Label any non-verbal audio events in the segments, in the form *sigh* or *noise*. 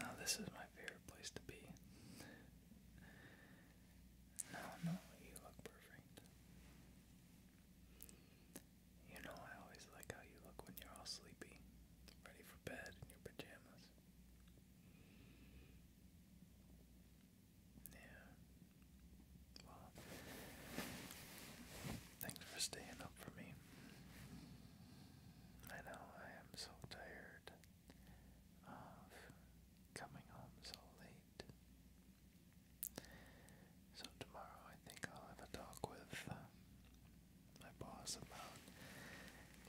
Now, this is my favorite place to be. No, no, you look perfect. You know, I always like how you look when you're all sleepy, ready for bed in your pajamas. Yeah, thanks for staying up for me. I know I am so tired of coming home so late. So tomorrow I think I'll have a talk with uh, my boss about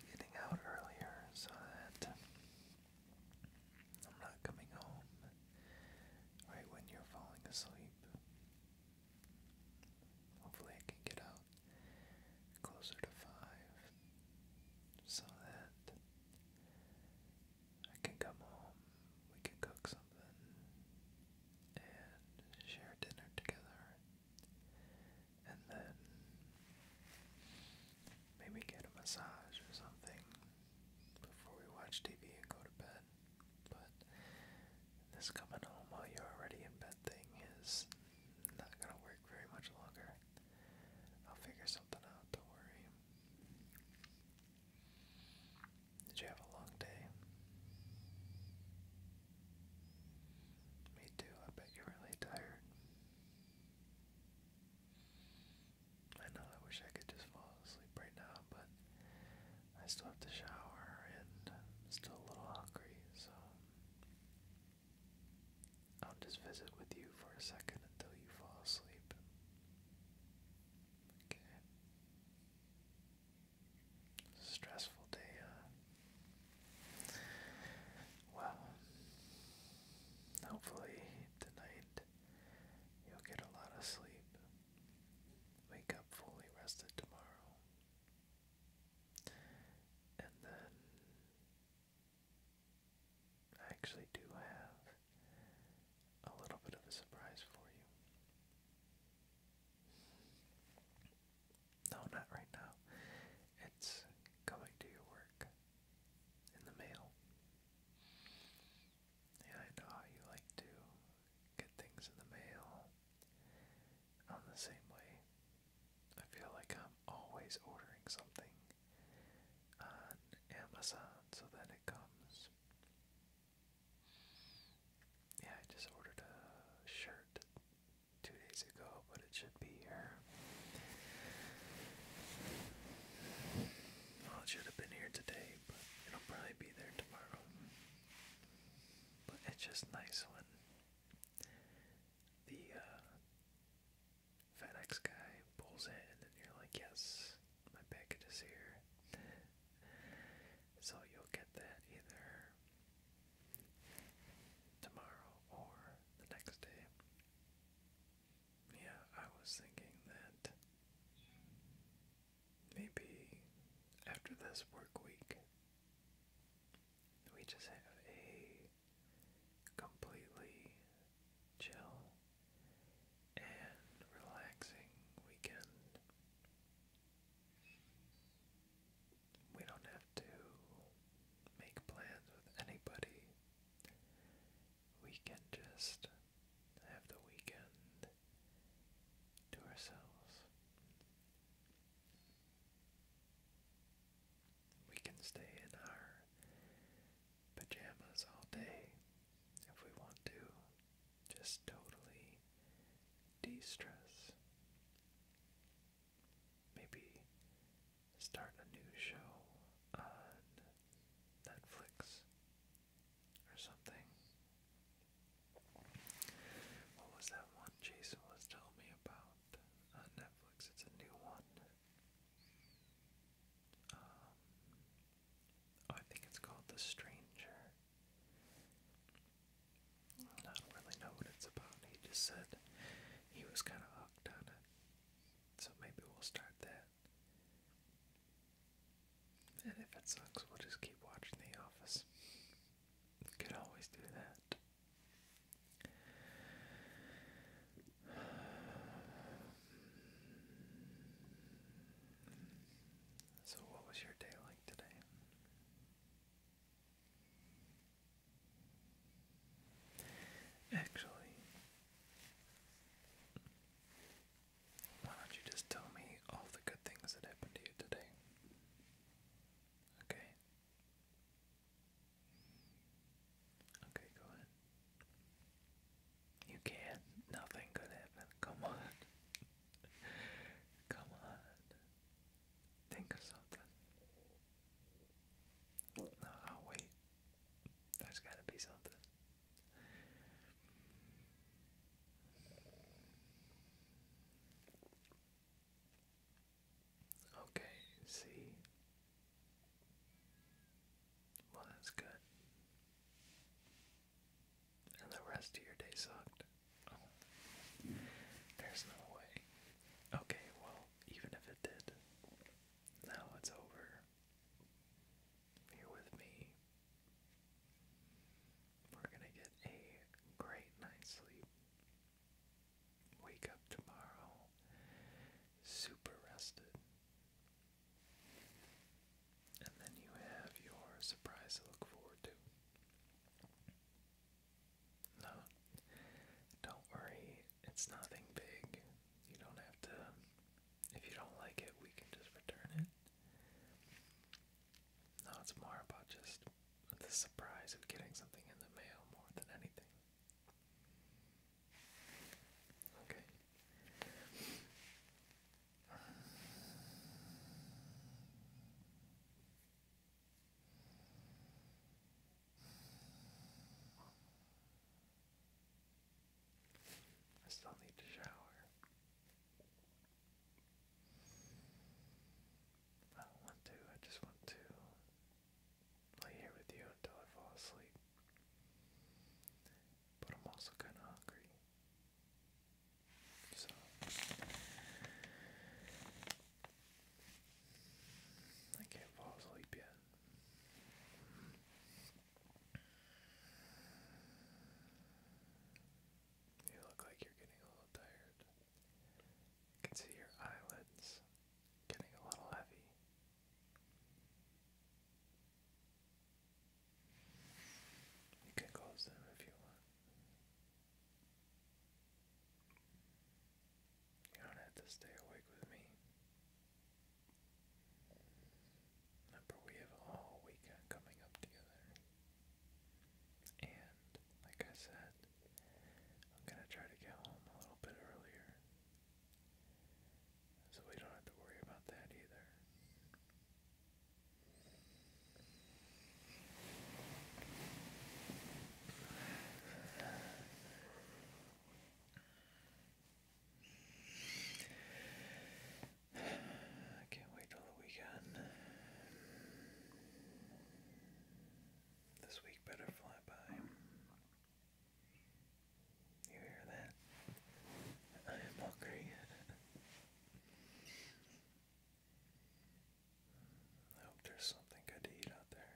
getting out earlier so that I'm not coming home right when you're falling asleep. Hopefully, I can get out closer to 5 so that I can come home, we can cook something, and share dinner together, and then maybe get a massage or something before we watch TV and go to bed. But this coming home while you're already in bed thing is not gonna work very much longer. I'll figure something out, don't worry. Did you have a long day? Me too, I bet you're really tired. I know I wish I could just fall asleep right now, but I still have to shower and still a little hungry, so I'll just visit with you for a second until you fall asleep. Okay. Stressful day, huh? Well, hopefully tonight you'll get a lot of sleep wake up fully rested tomorrow. And then I actually do have a little bit of a surprise for you. No, not right now. It's coming to your work in the mail and I know how you like to get things in the mail. I'm the same way. I feel like I'm always ordering something on Amazon so that it comes. Yeah, I just ordered a shirt two days ago, but it should be here. Well, it should have been here today, it'll probably be there tomorrow. But it's just nice when the uh, FedEx guy pulls in and you're like, yes, my package is here. so you'll get that either tomorrow or the next day. Yeah, I was thinking that maybe after this work week, we just have a completely chill and relaxing weekend. We don't have to make plans with anybody we can just have the weekend to ourselves. We can stay in our pajamas all day if we want to, just totally de stress. Maybe start a new show on Netflix or something. What was that one Jason was telling me about on uh, Netflix? It's a new one. Um, I think it's called The Stranger. I don't really know what it's about. He just said he was kind of hooked on it. So maybe we'll start that. And if it sucks, we'll just keep watching The Office. Could always do that. So, what was your day like today? Actually, why don't you just tell me all the good things that happened to you today? Okay. Okay, go ahead. You can Nothing could happen. Come on. *laughs* Come on. Think of something. No, I'll wait. There's gotta be something. Okay, see. Well, that's good. And the rest of your day sucked. Oh, there's no way. Okay, well, even if it did, now it's over here with me. We're gonna get a great night's sleep. Wake up tomorrow super rested. And then you have your surprise to look forward to. No, don't worry, it's nothing big. You don't have to if you don't like it, we can just return it. No, it's more about just the surprise of getting something in the mail more than anything. Okay. I still need to shower. I don't want to, I just want to lay here with you until I fall asleep. But I'm also kind of hungry. So. I can't fall asleep yet. You look like you're getting a little tired. You can see your eyelids getting a little heavy. You can close them if you want. You don't have to stay awake with me. Remember, we have a weekend coming up together. And, like I said, I'm gonna try to get home a little bit earlier. So we don't have to worry about that either. I *sighs* can't wait till the weekend. This week better fly by. You hear that? *laughs* I am hungry. *laughs* I hope there's something good to eat out there.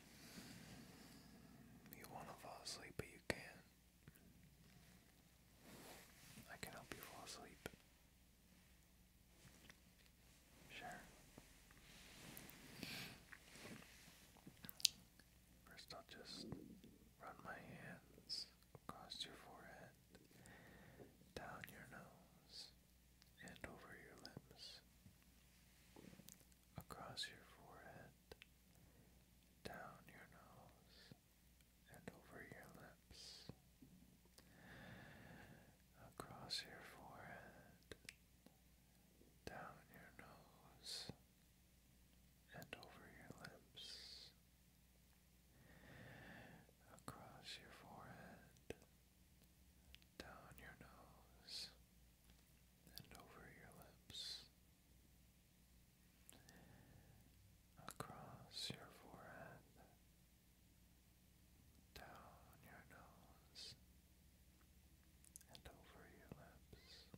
You want to fall asleep, but you can't. I can help you fall asleep. Sure. First, I'll just run my hands across your forehead, down your nose, and over your lips across your forehead, down your nose, and over your lips. Across your forehead, down your nose, and over your lips. Across your forehead, down your nose, and over your lips, across your forehead, down your nose, and over your lips.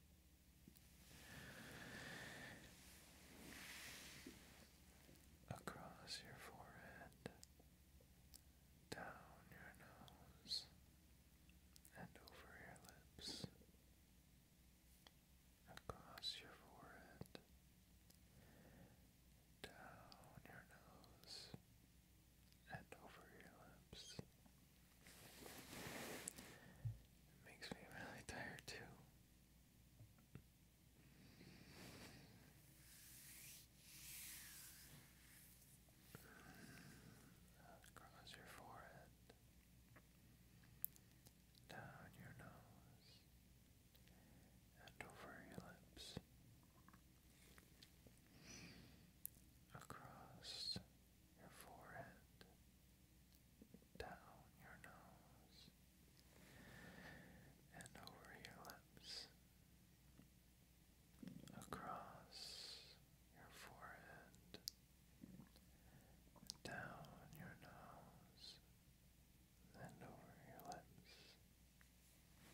Across your forehead, down your nose and over your lips, across your forehead, down your nose and over your lips. makes me really tired too across your forehead, down your nose, and over your lips, across your forehead, down your nose, and over your lips across your forehead, down your nose, and over your lips.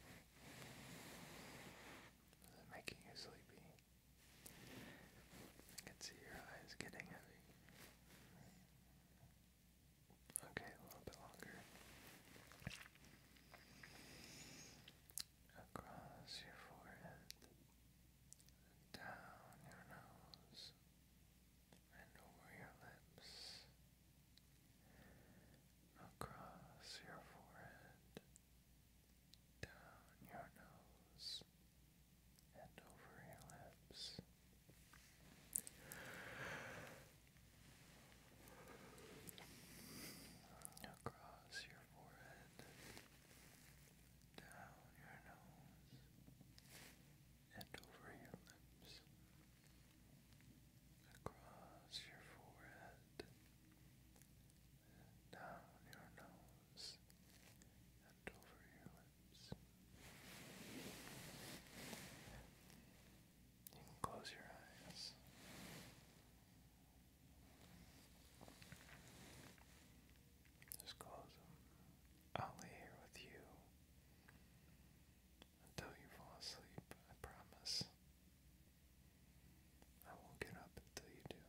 Is it making you sleepy? I can see your eyes getting heavy. Okay, a little bit longer across your forehead, down your nose, and over your lips, across your forehead, down your nose, and over your lips across your forehead, down your nose, and over your lips, across your forehead, down your nose, and over your lips. You can close your eyes. Just close them. I'll lay here with you until you fall asleep, I promise. I won't get up until you do.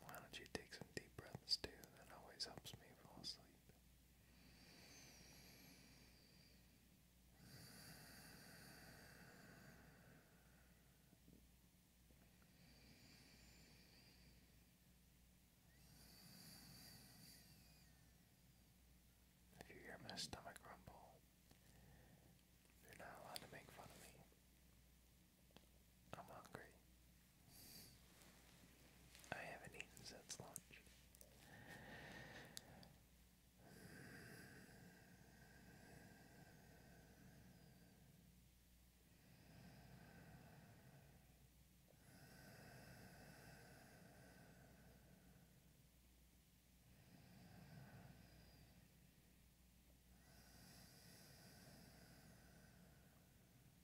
Why don't you take some deep breaths too? That always helps me fall asleep. If you hear my stomach rumble, you're not allowed to make fun of me. I'm hungry. I haven't eaten since lunch.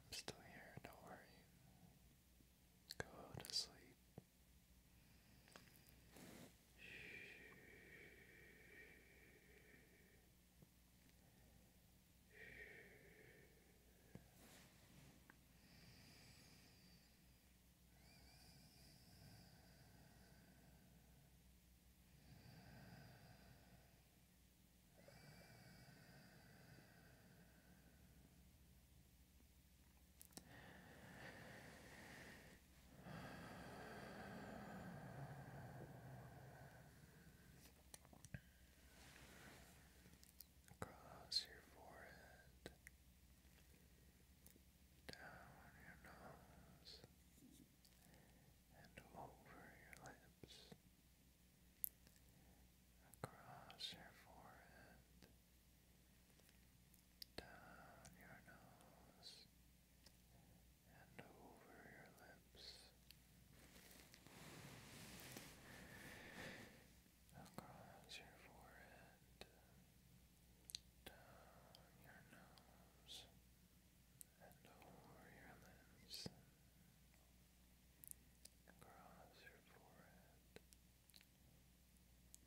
I'm still here, don't worry. Go to sleep. Across your forehead, down your nose, and over your lips, across your forehead, down your nose, and over your lips, across your forehead, down your nose and over your limbs, across your forehead,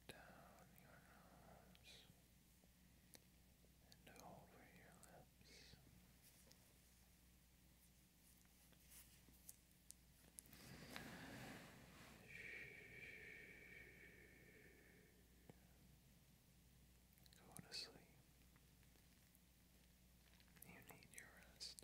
down your nose, and over your lips. Go to sleep. You need your rest.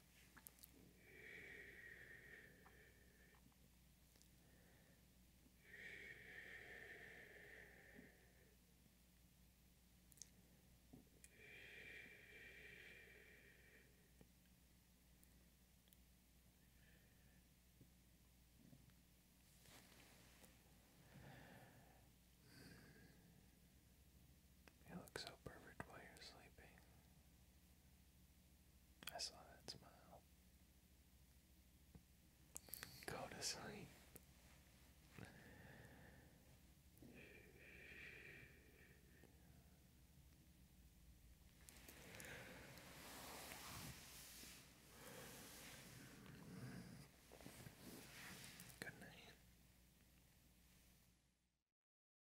You look so perfect while you're sleeping. I saw that smile. Go to sleep. Good night.